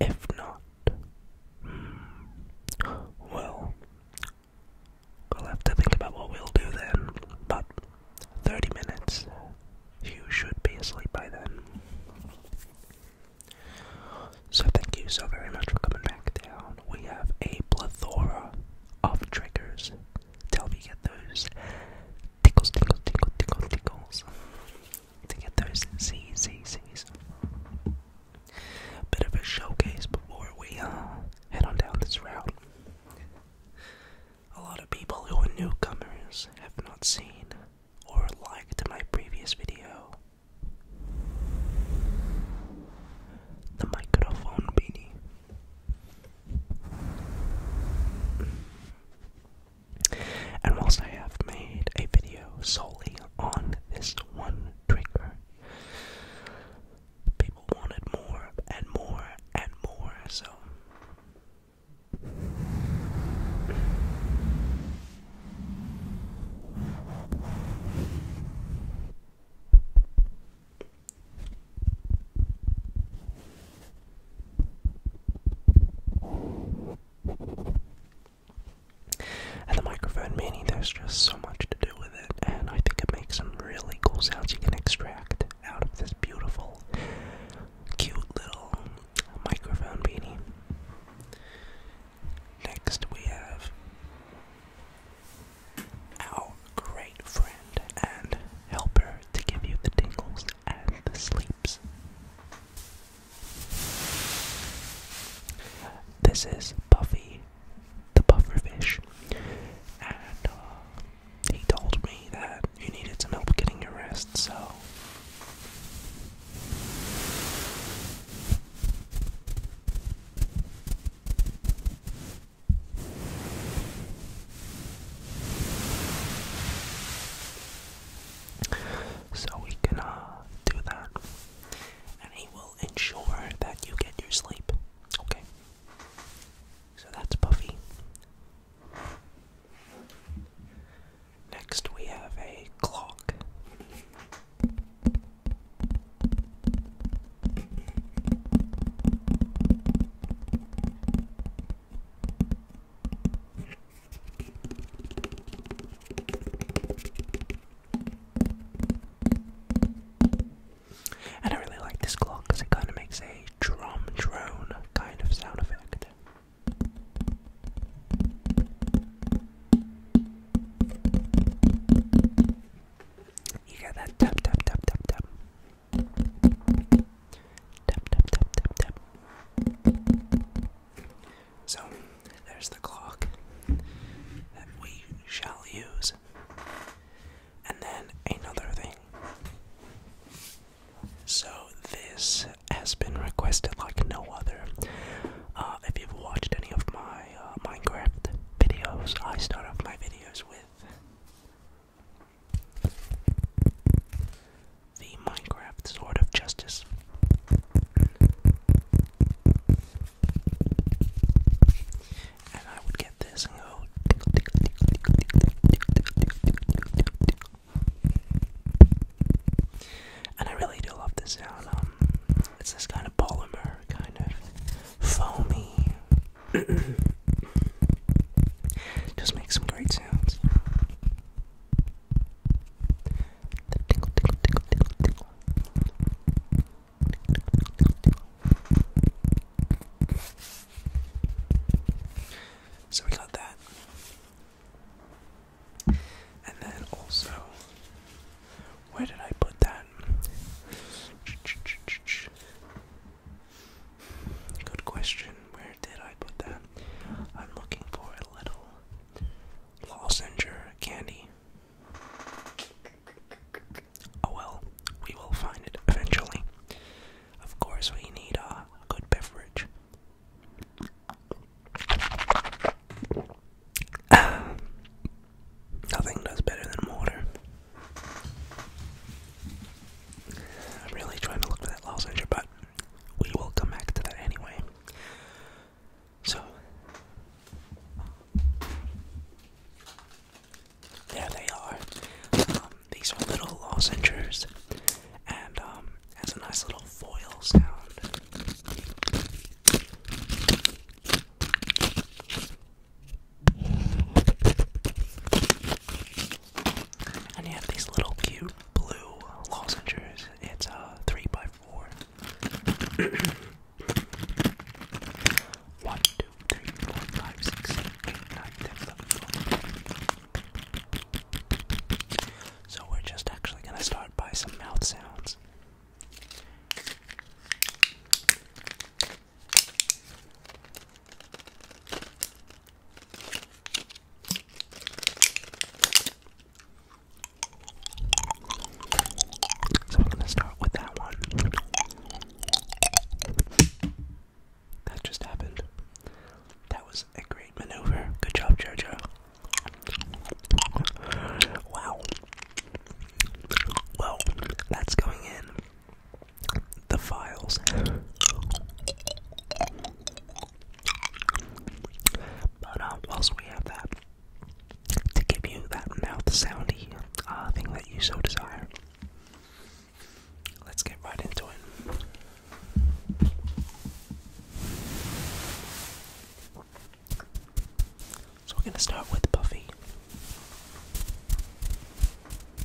If not, hmm, well, we'll have to think about what we'll do then. But 30 minutes, you should be asleep by then. So, thank you so very much for coming back down. We have a plethora of triggers to help get those tickles, tickles, tickles, tickles, tickles to get those C's, C's, Bit of a showcase before we uh, head on down this route. A lot of people who are newcomers have not seen or liked my previous video. The microphone beanie. And whilst I have made a video solely on this one trigger, people wanted more and more and more, so. And the microphone mini, there's just so much to do with it, and I think it makes some really cool sounds you can extract out of this beautiful, cute little microphone beanie. Next, we have our great friend and helper to give you the tingles and the sleep. This is Buffy the Pufferfish, and uh, he told me that you needed some help getting your rest, so. So we can uh, do that. And he will ensure that you get your sleep. Okay? So that's Buffy. Next, we have a clock. And I really like this clock because it kind of makes a drum drone kind of sound effect. You get that tap tap tap tap tap. So, there's the clock that we shall use. And then another thing. So, this has been requested like no other. Uh, if you've watched any of my uh, Minecraft videos, I start off my videos with the Minecraft Sword of Justice. And I would get this and go. And I really do love this sound. Um, it's this kind of polymer, kind of foamy. Just makes some great sounds. So we got that. And then also, where did I put that? Good question. Where did I put that? I'm looking for a little lozenger candy. Oh well, we will find it eventually. Of course, we need a good beverage. Nothing does better than water. I'm really trying to look for that lozenger, but we will come back to that anyway. So, there they are. Um, these little lozenges, and um, has a nice little foil sound. And you have these little cute blue lozenges. It's a uh, three by four. One, two, three, four, five, six, seven, eight, nine, ten, eleven, twelve. So we're just actually gonna start by some mouth sounds. So I'm gonna start with that one. That just happened. That was a great maneuver. Good job, Jojo. Wow. Well, that's going in the files. But um, we have that to give you that mouth soundy uh, thing that you so desire. Let's get right into it. So we're going to start with Buffy.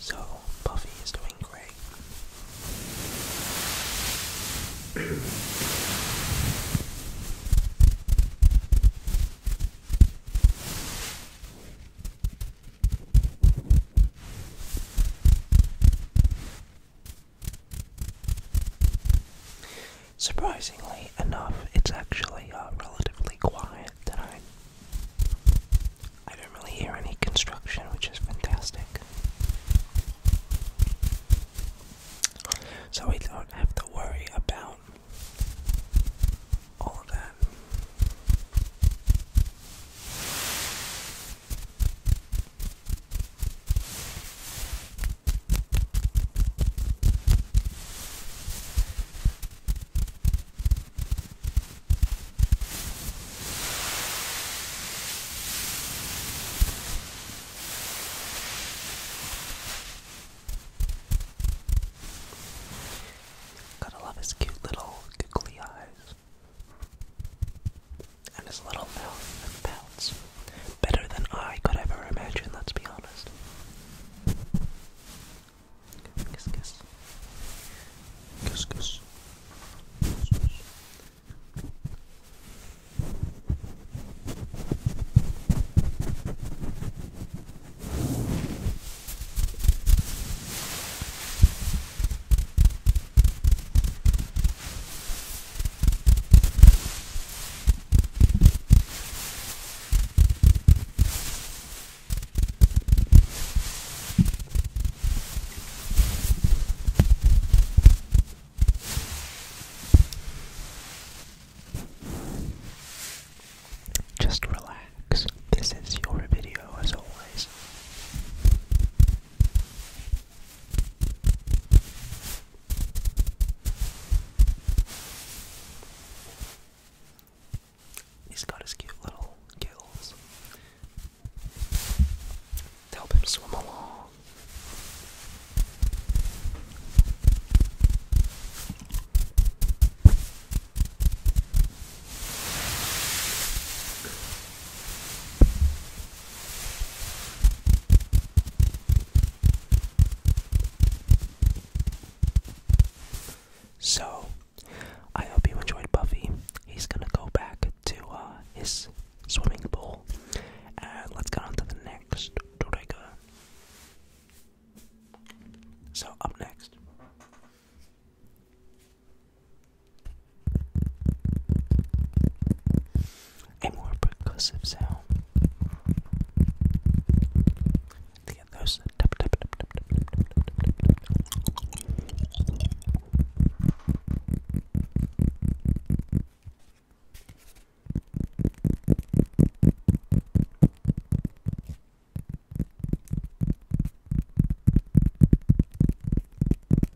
So, Buffy is doing great. Surprisingly enough, it's actually uh, relatively quiet tonight. I don't really hear any construction, which is fantastic. So we don't have to worry about all that. Gotta love his cute little googly eyes and his little mouth and pounce. Better than I could ever imagine, let's be honest. kiss. Kiss, kiss. kiss, kiss. Kiss, just relax. This is your video as always. He's got his cute little gills to help him swim along. So, I hope you enjoyed Buffy. He's gonna go back to uh, his swimming pool. And let's get on to the next Dorega. So, up next a more percussive sound. The others. Uh,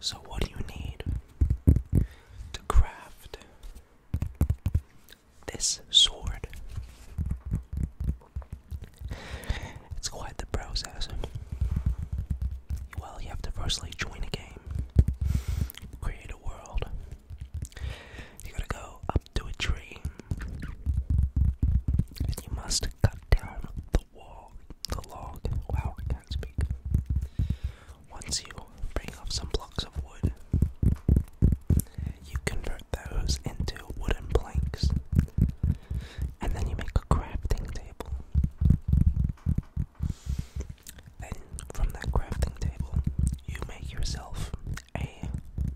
So, what do you need to craft this sword? It's quite the process. Well, you have to firstly join a game, create a world. You gotta go to a tree, and you must cut down the wall, the log. Wow, I can't speak. Once you bring off some blocks of wood, you convert those into wooden planks, and then you make a crafting table. Then, from that crafting table, you make yourself a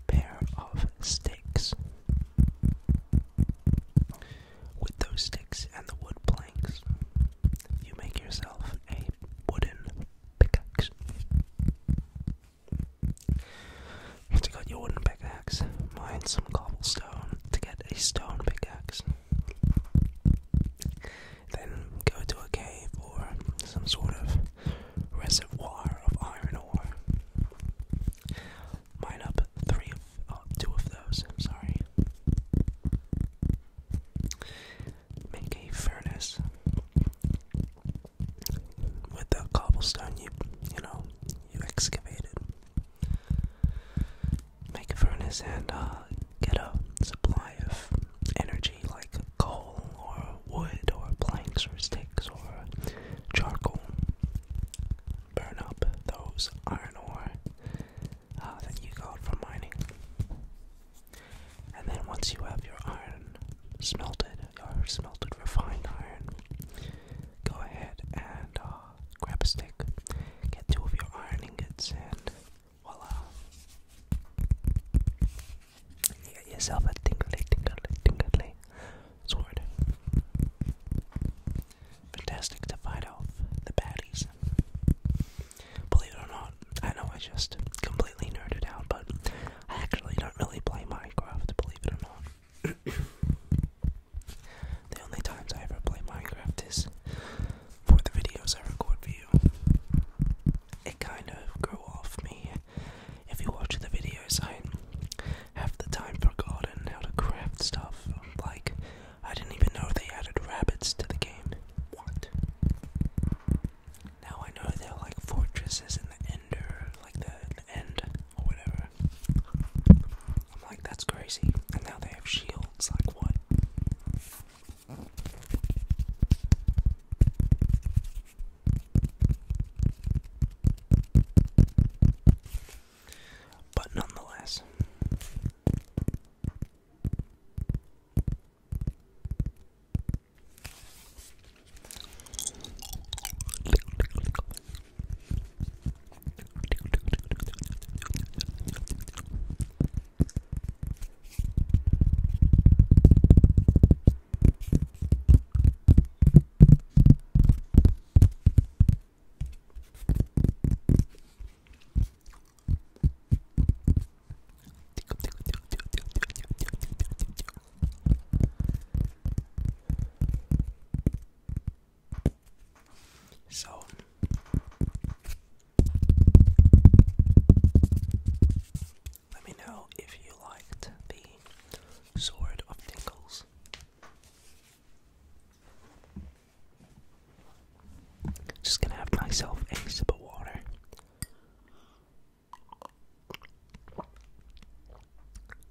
pair of sticks. With those sticks and the wood planks, you make yourself a wooden pickaxe. Once you got your wooden pickaxe, mine some cobblestone to get a stone pickaxe. Then go to a cave or some sort of reservoir of iron ore Mine up three of, oh, of those, I'm sorry. Make a furnace with the cobblestone you, you know, you excavated. Make a furnace and uh, get a supply of energy like coal or wood or planks or sticks or charcoal. Burn up those iron ore uh, that you got from mining. And then once you have your iron smelted, your smelted refined iron, go ahead and uh, grab a stick, get two of your iron ingots, and voila. You get yourself a tingly, tingly, tingly sword. Fantastic to fight off the baddies. Believe it or not, I know I just completely nerded out, but I actually don't really play Minecraft, believe it or not. the only times I ever play Minecraft is for the videos I record for you. It kind of grew off me if you watch the videos, I have the time forgotten how to craft stuff. Like, I didn't even know they added rabbits to the game. What? Now I know they're like fortresses in the ender, like the, the end or whatever. I'm like, that's crazy. And now they have shields, like what? But nonetheless. So let me know if you liked the Sword of Tinkles. Just gonna have myself a sip of water.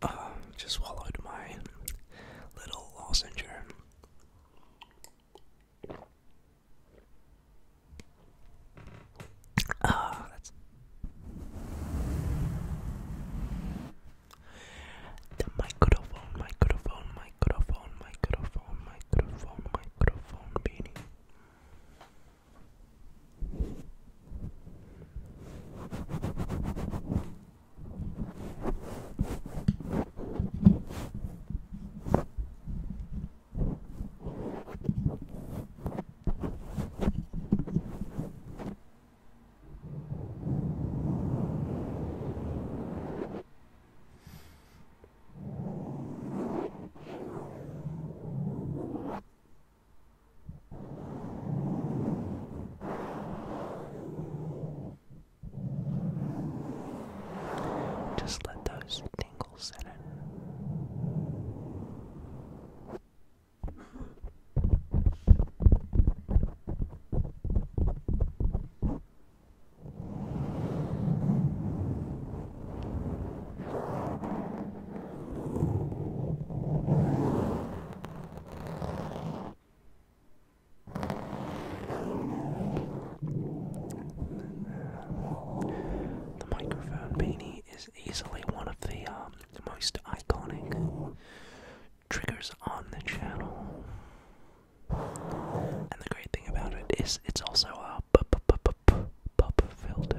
Uh, just swallowed my little lozenge. Oh, the microphone, microphone, microphone, microphone, microphone, microphone, beanie. Just let those tingles set in. The microphone beanie is easily one of the um, most iconic triggers on the channel. And the great thing about it is it's also a p p p p p pop filter.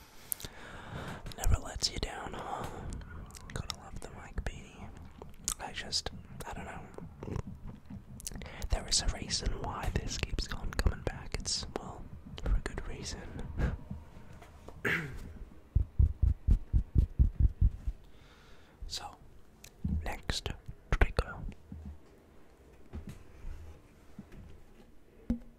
Never lets you down, huh? Gotta love the Mike Beanie. I just, I don't know. There is a reason why this keeps on coming back. It's, well, for a good reason. so, next trigger.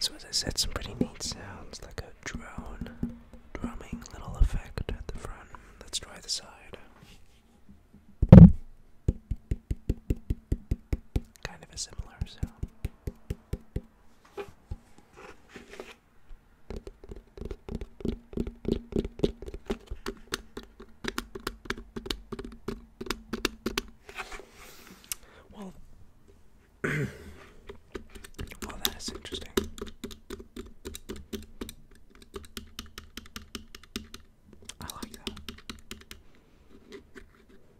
So as I said, some pretty neat sounds like a drone drumming little effect at the front. Let's try the side. Kind of a similar sound. Well, well, that is interesting. I like that.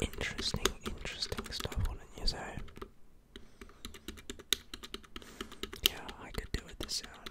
Interesting, interesting stuff, wouldn't you say? Yeah, I could do with this sound.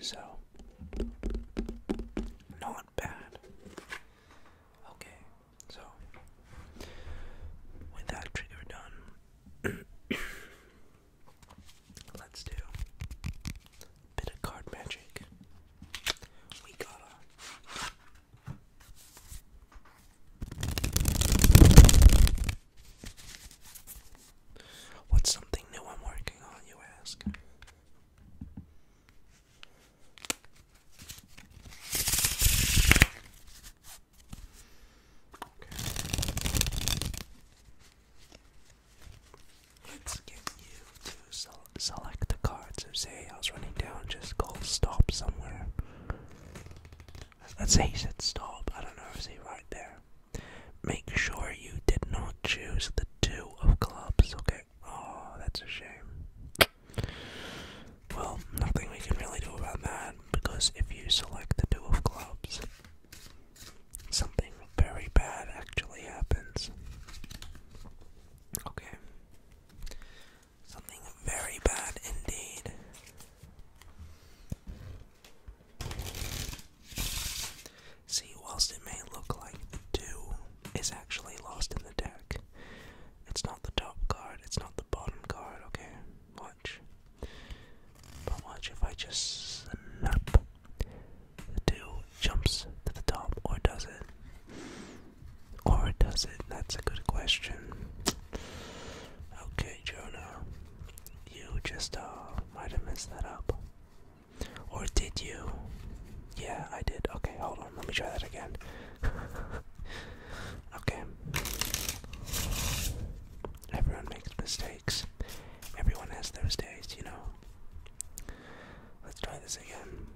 So, not bad. Okay, so with that trigger done, let's do a bit of card magic. We got What's something new I'm working on, you ask? Let's get you to select the cards. Or say I was running down, just go stop somewhere. Let's say he said stop. I don't know. Is he right there? Make sure you did not choose the two of clubs, okay? Oh, that's a shame. Well, nothing we can really do about that because if you select the two of clubs, something very bad actually happens. Okay. Something very bad indeed. See, whilst it may look like the 2 is actually lost in the deck, it's not the top card, it's not the bottom card, okay? Watch. But watch if I just snap. The 2 jumps to the top, or does it? Or does it? That's a good question. Okay, Jonah, you just uh, might have messed that up. Or did you? Yeah, I did. Okay, hold on. Let me try that again. okay. Everyone makes mistakes. Everyone has those days, you know. Let's try this again.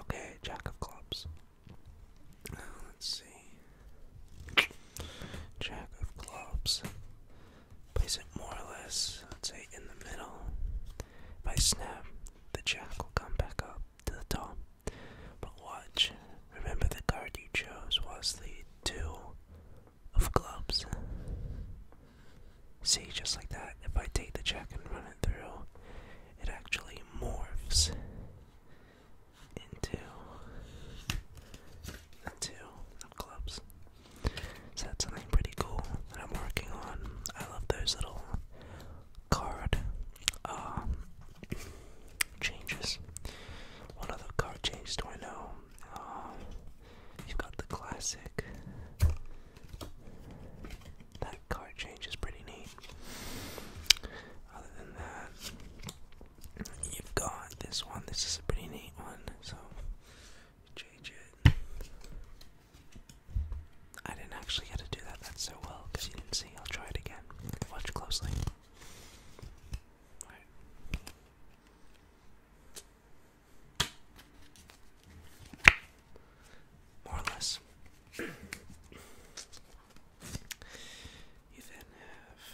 Okay, Jack of Clubs. Uh, let's see. Jack of Clubs. Place it more or less, let's say, in the middle. If I snap, the jack will come back up to the top. But watch, remember the card you chose was the two of clubs. See, just like that, if I take the jack and run it through, it actually morphs into the two of clubs. So that's something pretty cool that I'm working on. I love those little card um, changes. What other card changes do I know? Um, you've got the classic. That card change is pretty neat. Other than that, you've got this one. This is a pretty neat one. So Change it. I didn't actually get to do that. That's so well because you didn't see. I'll try it again. Watch closely. More or less. you then have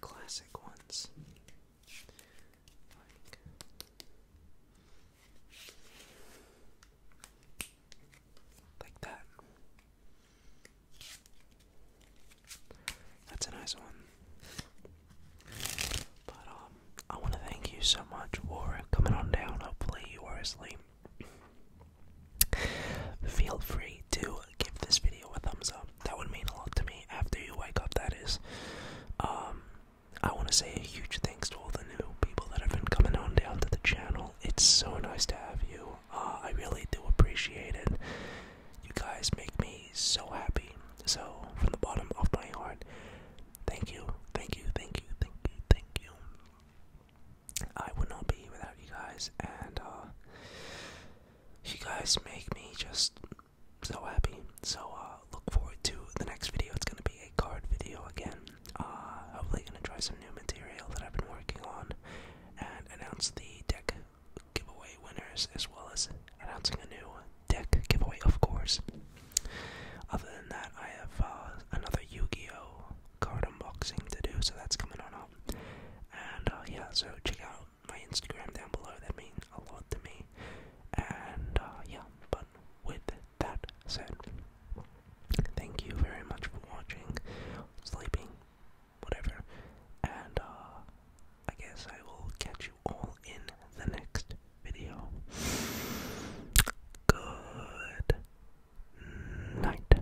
classic ones. Like that. That's a nice one. But um I wanna thank you so much for coming on down. Hopefully you were asleep. Feel free way to give this video a thumbs up. That would mean a lot to me after you wake up, that is. Um, I want to say a huge thanks to all the new people that have been coming on down to the channel. It's so nice to have you. Uh, I really do appreciate it. You guys make me so happy. So, from the bottom of my heart, thank you, thank you, thank you, thank you, thank you. I would not be without you guys, and uh, you guys make me just so happy. So uh, look forward to the next video. It's gonna be a card video again. Uh, hopefully, gonna try some new material that I've been working on, and announce the deck giveaway winners as well as announcing a new deck giveaway, of course. Other than that, I have uh, another Yu-Gi-Oh card unboxing to do, so that's coming on up. And uh, yeah, so check out my Instagram down below. That means a lot to me. And uh, yeah, but with that said, thank you very much for watching, sleeping, whatever. And uh, I guess I will catch you all in the next video. Good night.